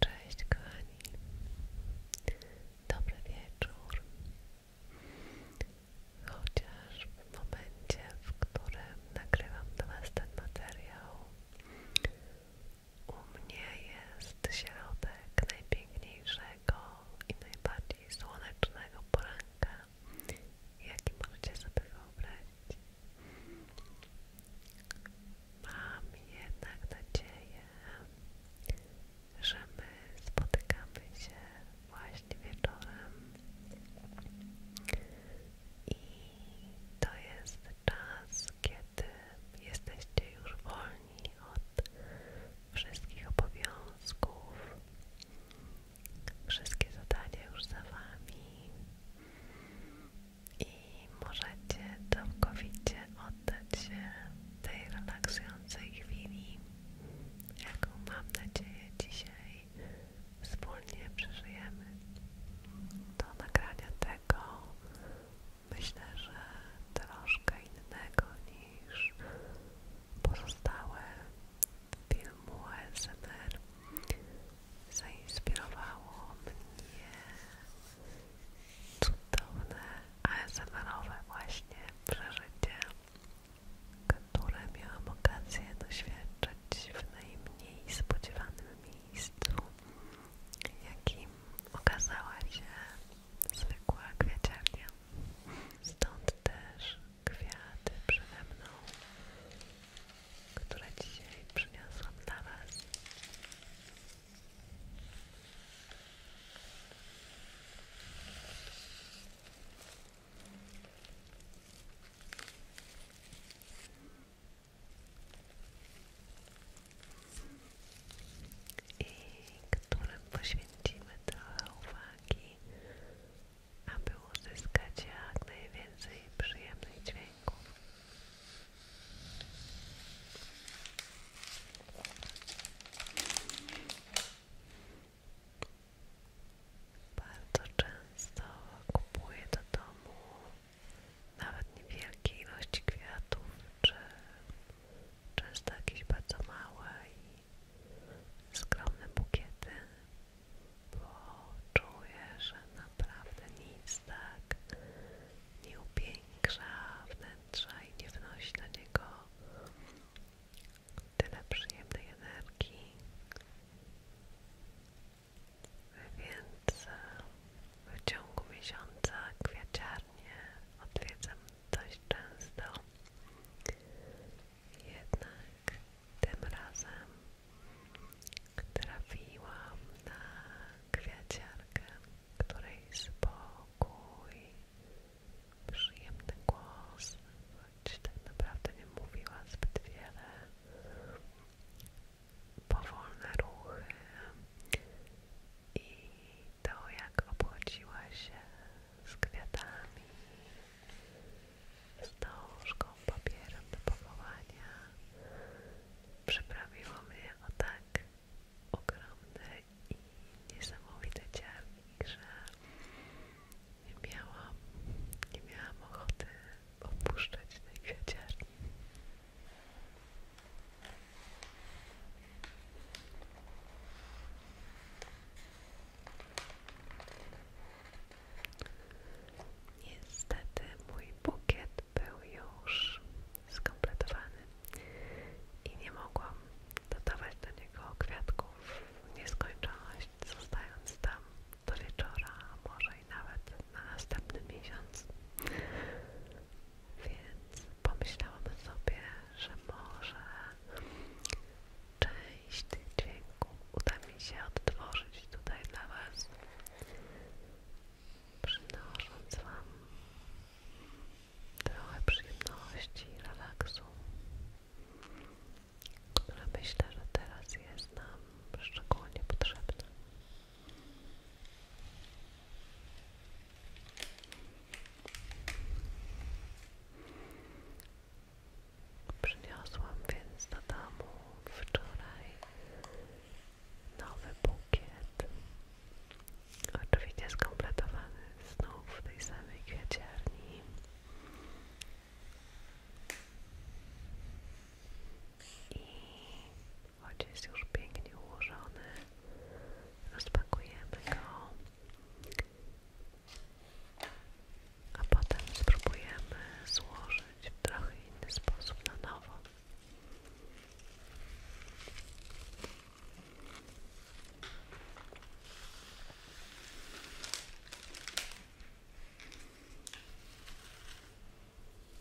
Cześć kochani, dobry wieczór. Chociaż w momencie, w którym nagrywam dla Was ten materiał, u mnie jest środek najpiękniejszego i najbardziej słonecznego poranka, jaki możecie sobie wyobrazić. Mam jednak nadzieję, że my spotykamy się właśnie wieczorem i to jest czas, kiedy jesteście już wolni od wszystkich obowiązków. Wszystkie zadania już za Wami i możecie całkowicie oddać się tej relaksującej chwili, jaką mam nadzieję dzisiaj wspólnie przeżyjemy. Do nagrania tego myślę, że troszkę innego niż pozostałe filmu ASMR zainspirowało mnie cudowne ASMR-owe właśnie przeżycie, które miałam okazję doświadczyć w najmniej spodziewanym miejscu jakim okazała się zwykła kwiaciarnia. Stąd też kwiaty przede mną, które dzisiaj przyniosłam dla Was i którym poświęcimy trochę uwagi, aby uzyskać jak najwięcej przyjemnych dźwięków. Bardzo często kupuję do domu nawet niewielkiej ilości kwiatów, czy często jakieś bardzo małe i skromne bukiety, bo czuję, że naprawdę nic tak nie upiększa wnętrza i nie wnosi do niego tyle przyjemnej energii więc e, w ciągu miesiąca kwiaciarnie odwiedzam dość często. Jednak tym razem trafiłam na kwiaciarkę, której spokój, przyjemny głos, choć tak naprawdę nie mówiła zbyt wiele powolne ruchy i to jak obchodziła się z kwiatami, z dążką, papierem do pochowania przyprawiło mnie o tak ogromny i niesamowity ciarnik, że nie miałam, nie miałam ochoty opuszczać tej kwiaciarni. Niestety mój bukiet był już skompletowany i nie mogłam dodawać do niego kwiatków w nieskończoność, zostając tam do wieczora, a może i nawet na następny miesiąc. Więc pomyślałam sobie, że może część tych dźwięków uda mi się odtworzyć tutaj dla Was, przynosząc Wam trochę przyjemności, relaksu, które myślę, że teraz jest nam szczególnie potrzebne. Przyniosłam więc do domu wczoraj nowy bukiet. Oczywiście skompletowany znów w tej samej kwiaciarni choć jest już pięknie ułożony. Rozpakujemy go, a potem spróbujemy złożyć w trochę inny sposób na nowo.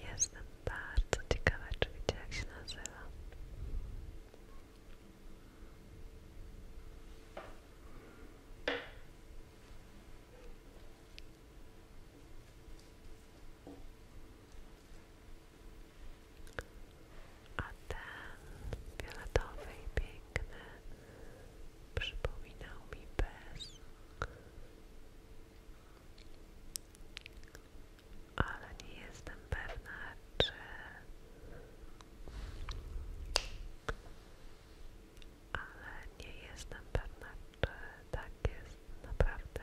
Jestem bardzo ciekawa, czy wiecie jak się nazywa. A ten fioletowy i piękny przypominał mi bez, ale nie jestem pewna, czy ale nie jestem pewna, czy tak jest naprawdę.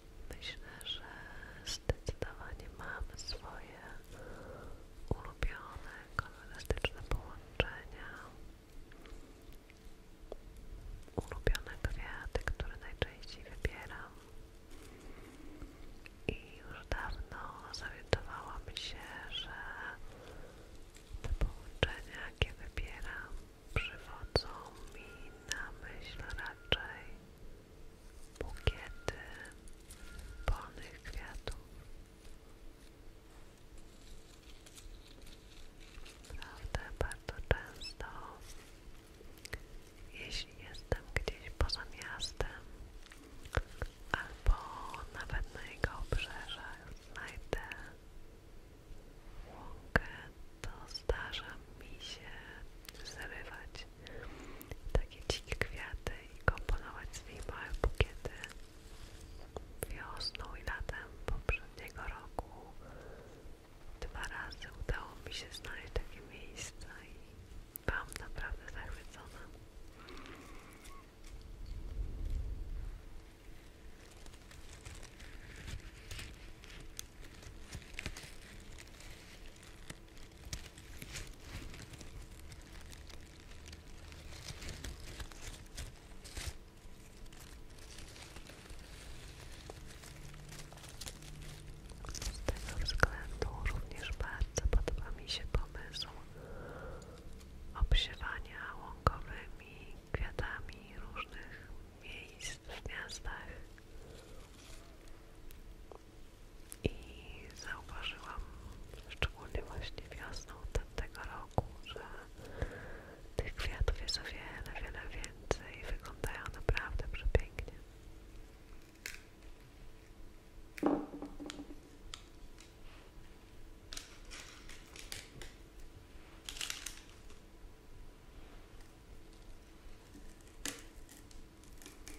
Myślę, że zdecydowanie mam swoje ulubione kolorystyczne połączenia, ulubione kwiaty, które najczęściej wybieram. I już dawno zorientowałam się, że te połączenia, jakie wybieram, przywodzą mi na myśl raczej bukiety polnych kwiatów. Prawda, bardzo często, jeśli jestem gdzieś poza miastem albo nawet na jego obrzeżach, znajdę łąkę, to zdarza mi się zrywać takie dzikie kwiaty i komponować swoje małe bukiety wiosną i latem poprzedniego roku dwa razy udało mi się znaleźć takie miejsca i byłam naprawdę zachwycona z tego względu również bardzo podoba mi się pomysł obsiewania łąkowymi kwiatami różnych miejsc w miastach i zauważyłam, szczególnie właśnie wiosną tego roku, że tych kwiatów jest o wiele, wiele więcej i wyglądają naprawdę przepięknie.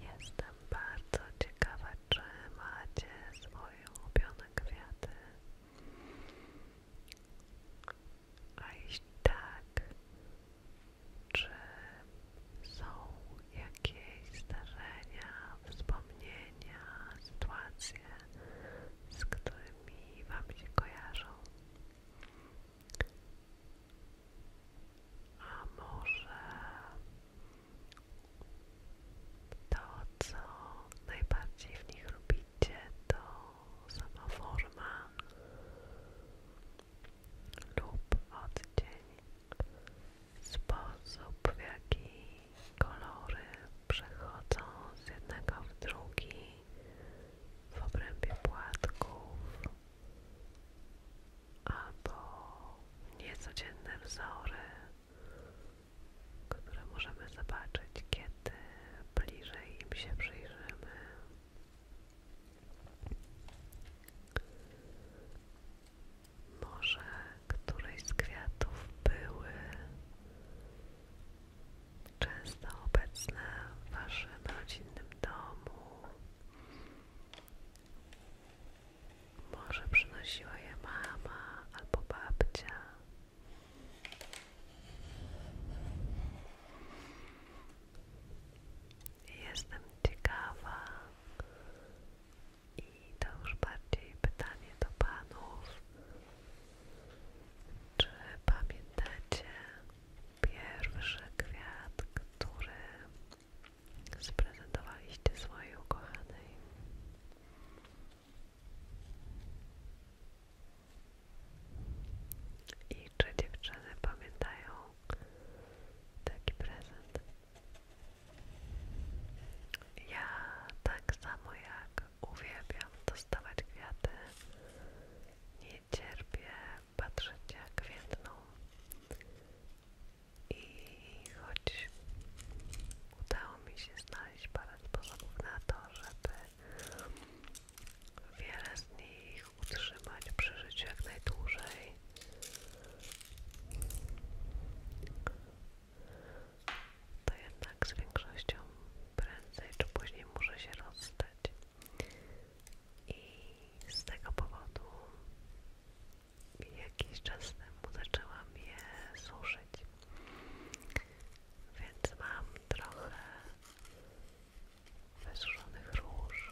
Jestem bardzo ciekawa, czy macie swoje ulubione kwiaty. A jeśli tak, czy są jakieś zdarzenia, wspomnienia, sytuacje, z którymi Wam się kojarzą? A może to, co najbardziej w nich lubicie, to sama forma lub odcień, sposób w jaki kolory przechodzą z jednego w drugi w obrębie płatków albo niecodzienne wzory, które możemy zobaczyć, kiedy bliżej im się przyjrzymy. Może któreś z kwiatów były często obecne w Waszym rodzinnym domu, może przynosiła je mama albo babcia. Jestem ciekawa i to już bardziej pytanie do panów. Czy pamiętacie pierwszy kwiat, który Sprezentowaliście swojej ukochanej. I czy dziewczyny pamiętają taki prezent? Ja tak samo jak uwielbiam dostawać kwiaty, nie cierpię, patrzeć jak więdną i choć udało mi się znaleźć parę sposobów na to, żeby wiele z nich utrzymać przy życiu jak najdłużej to jednak z większością prędzej czy później muszę się rozstać i z tego powodu jakiś czas temu zaczęłam je suszyć. Więc mam trochę wysuszonych róż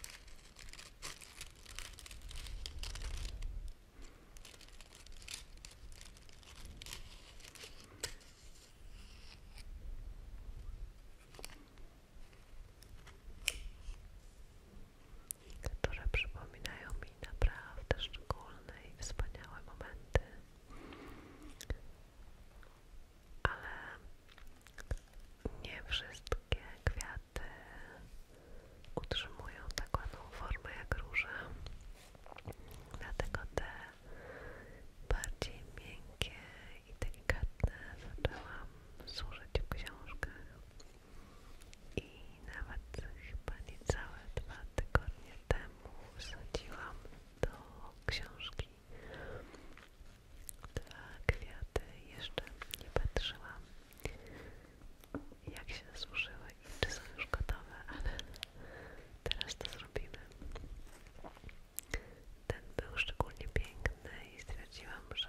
które przypominają mi naprawdę szczególne i wspaniałe momenty, ale nie wszystkie kwiaty utrzymują taką ładną formę jak róża, dlatego te bardziej miękkie i delikatne zaczęłam służyć w książkach i nawet chyba niecałe dwa tygodnie temu wsadziłam do książki dwa kwiaty, jeszcze nie patrzyłam jak się zużyły i czy są już gotowe, ale teraz to zrobimy. Ten był szczególnie piękny i stwierdziłam, że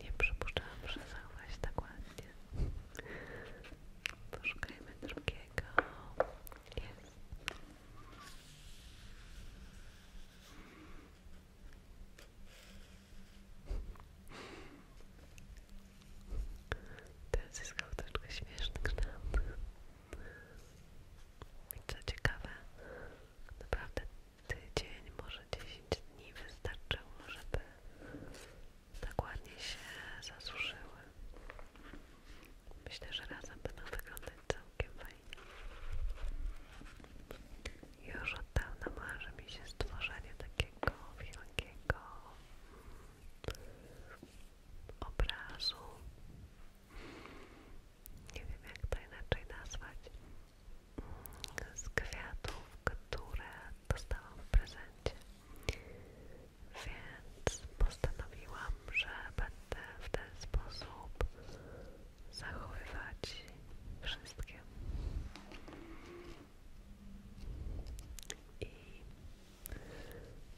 Nie przypuszczałam, że zachować tak ładnie. Poszukajmy drugiego. Jest. Teraz jest kołteczka śmieszny kształt. I co ciekawe, naprawdę tydzień, może 10 dni wystarczyło, żeby tak się zasuszyły. Myślę, że razem będą wyglądać całkiem fajnie. Już od dawna marzy mi się stworzenie takiego wielkiego obrazu nie wiem jak to inaczej nazwać, z kwiatów, które dostałam w prezencie. Więc postanowiłam, że będę w ten sposób zachowywać wszystkie. I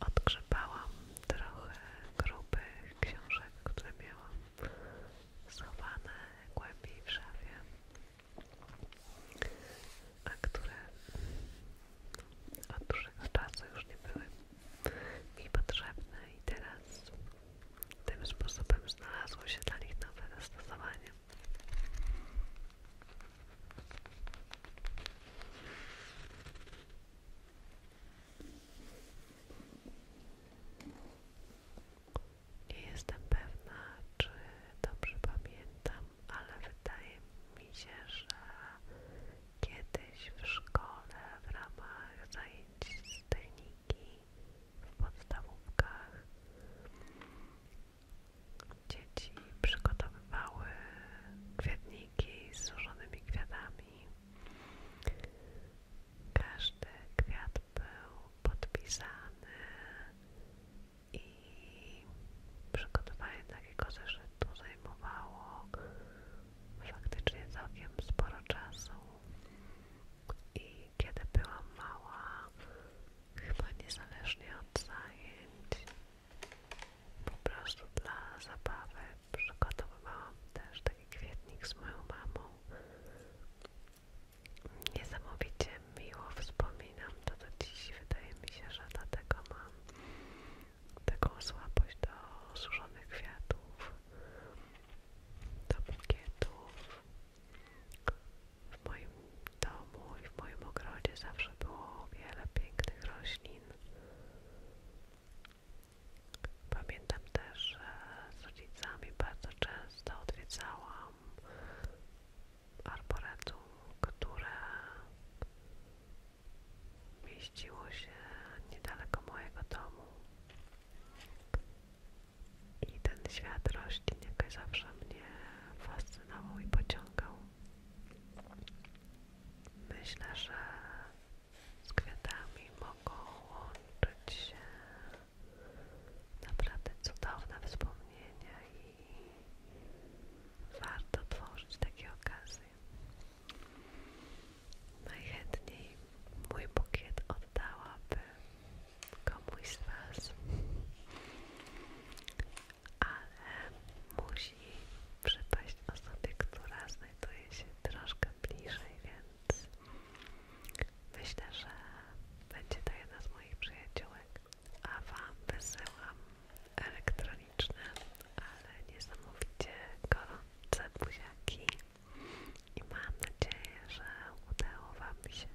odgrzebałam trochę grubych książek, które miałam schowane głębiej w szafie, a które od dłuższego czasu już nie były mi potrzebne i teraz tym sposobem znalazło się dla nich nowe zastosowanie. Nie jestem pewna, czy dobrze pamiętam, ale wydaje mi się, że kiedyś w szkole w ramach zajęć z w podstawówkach dzieci przygotowywały kwietniki z złożonymi kwiatami drzwi. Każdy kwiat był podpisany i przygotowanie takiego zeszytu zajmowało faktycznie całkiem sporo czasu. I kiedy byłam mała, chyba niezależnie od zajęć, po prostu dla zabawy przygotowywałam też taki kwietnik z moją mamą. Niesamowicie miło wspominam to do dziś. Wydaje mi się, że tego mam taką słabość do suszonych kwiatów, do bukietów. W moim domu i w moim ogrodzie zawsze było wiele pięknych roślin. Pamiętam też, że z rodzicami bardzo często odwiedzałam arboretum, które mieściło się niedaleko mojego domu. I ten świat roślin jakoś zawsze mnie fascynował i pociągał. Myślę, że z kwiatami mogą łączyć się naprawdę cudowne wspomnienia i warto tworzyć takie okazje. Najchętniej mój bukiet oddałabym komuś z Was, ale musi przypaść osobie, która znajduje się troszkę bliżej, więc myślę, że będzie to jedna z moich przyjaciółek. A Wam wysyłam elektroniczne, ale niesamowicie gorące buziaki i mam nadzieję, że udało Wam się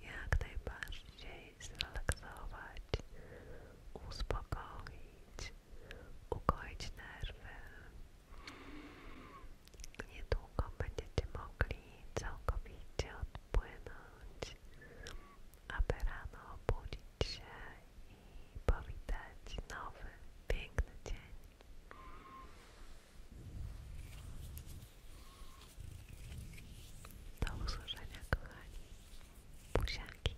jak najbardziej zrelaksować, uspokoić, ukoić nerwy Niedługo będziecie mogli całkowicie odpłynąć, aby rano obudzić się i powitać nowy, piękny dzień. Do usłyszenia, kochani. Buziaki.